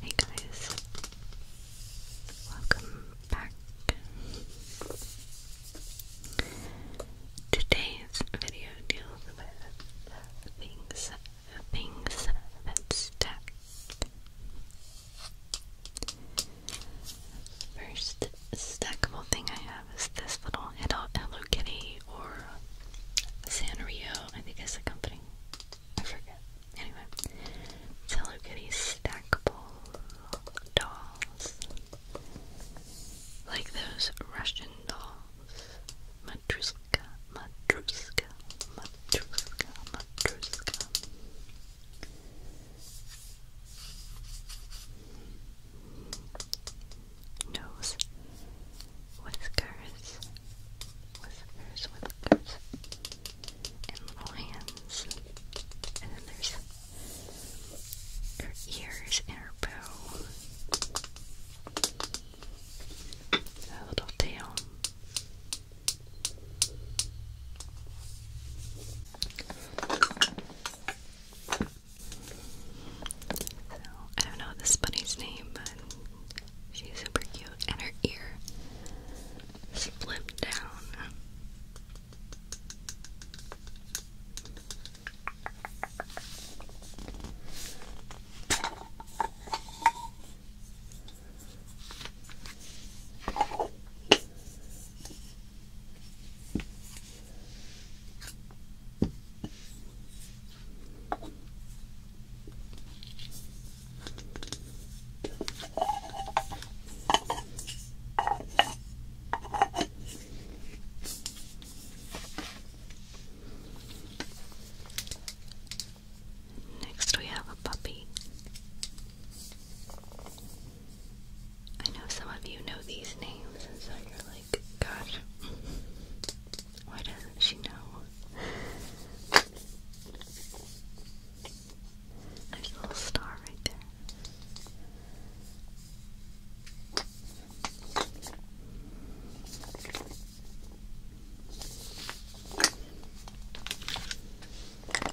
Hey guys, welcome back. Today's video deals with things, things that stack. First stackable thing I have is this little Hello Kitty or Sanrio, I think is the company. I forget. Anyway, Hello Kitty stackable dolls. Like those Russian dolls. Matruska, Matruska, Matruska, Matruska. Nose, whiskers, whiskers, whiskers, and little hands. And then there's her ears and her bow. A little tail. I don't know this bunny's name, but she's super cute, and her ear slipped down. Next, we have a puppy. I know some of you know these names, and so you're like, gosh, why doesn't she know? There's a little star right there.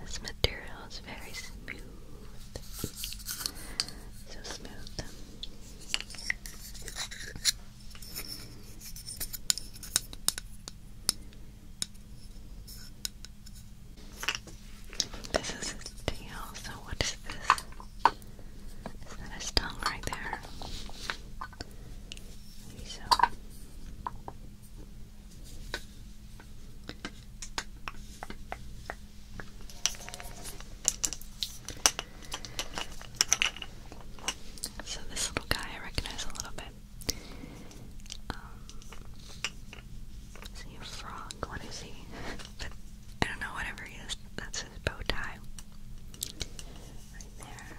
This material is very smooth. So smooth. This is his so what is this? Is that his tongue right there? so. So this little guy I recognize a little bit. Um, is he a frog? What is he? but I don't know, whatever he is, that's his bow tie. Right there.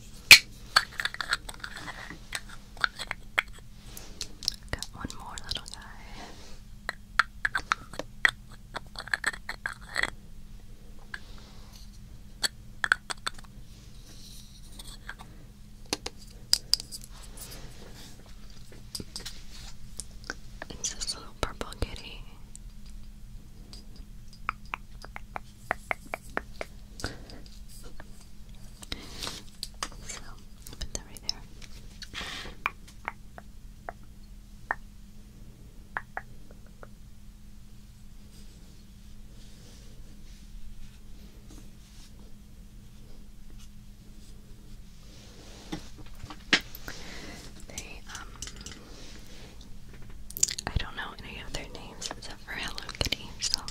Got one more little guy. It's this little purple kitty. So, put that right there. They um I don't know any of their names except for Hello Kitty herself.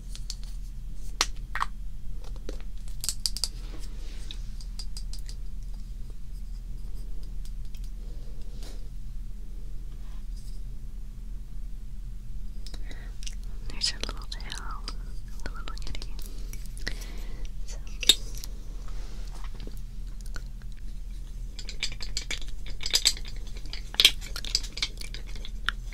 There's a little tail, the little kitty. So.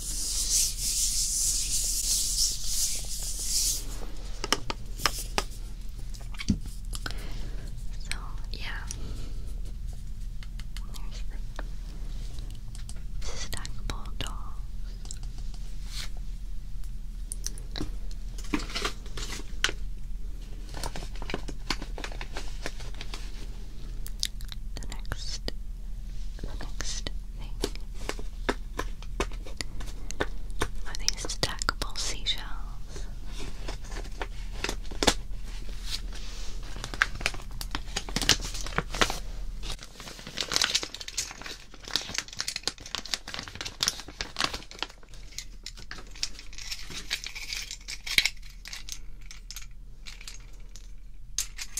So, yeah. There's the stackable dolls. The next the next thing are these stackable seashells.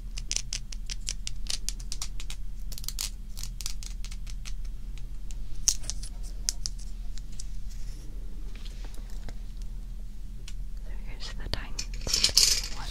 So here's the tiny one.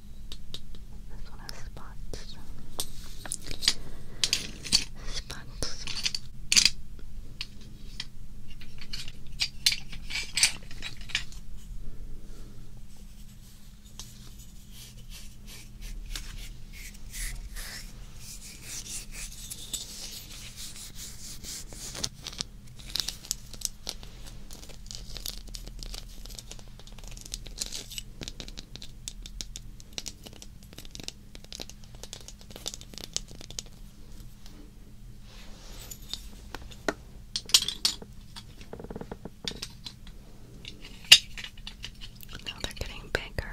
This one has spots. Spots. Now they're getting bigger.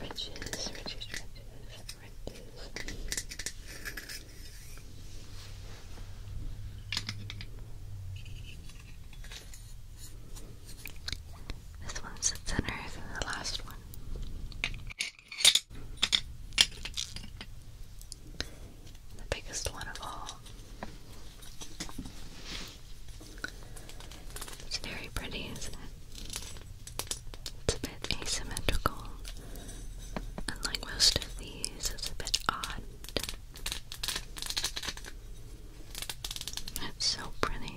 Riches, riches, riches, riches. This one's sits in than the last one. The biggest one of all. It's very pretty, isn't it? It's a bit asymmetrical. Unlike most of these, it's a bit odd. It's so pretty.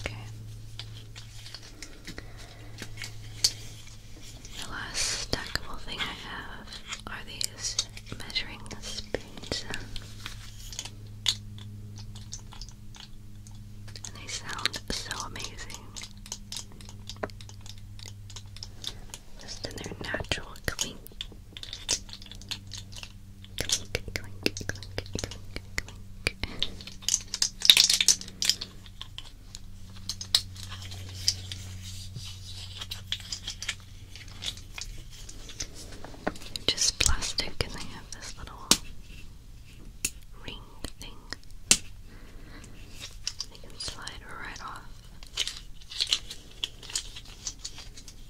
Okay. The last stackable thing I have are these measuring spoons. they sound so amazing. Just in their natural clean. Clink, clink, Just plastic, and they have this little ring thing. They can slide right off.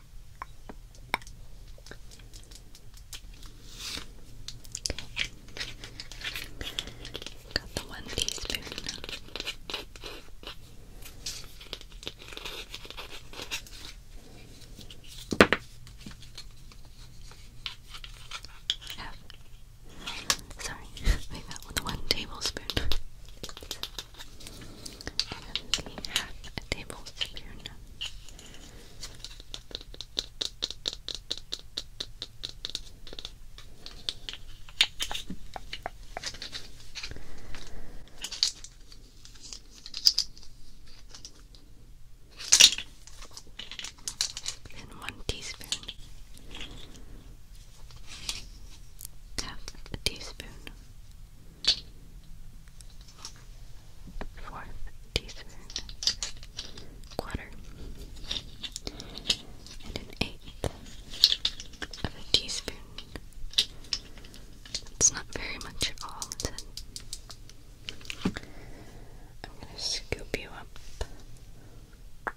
Got the one teaspoon. Sorry, we got the one tablespoon and half a tablespoon and one teaspoon half a teaspoon fourth teaspoon quarter and an eighth of a teaspoon. It's not very much at all, I'm gonna scoop you up.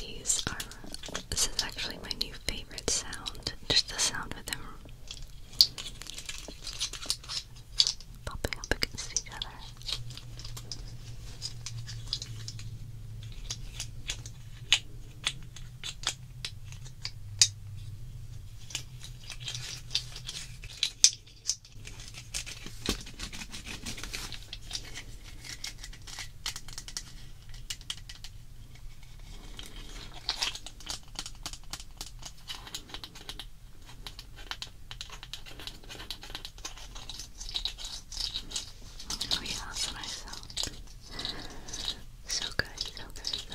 These are, this is actually my new favorite sound, just the sound of them popping up against each other. Oh yeah, that's what I sound. So good, so good, so good.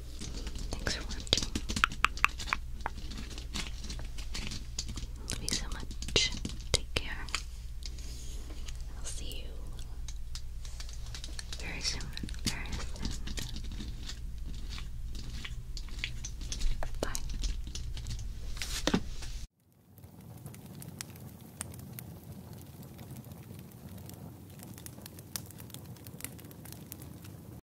Thanks for watching. Love you so much. Take care. I'll see you very soon. Bye.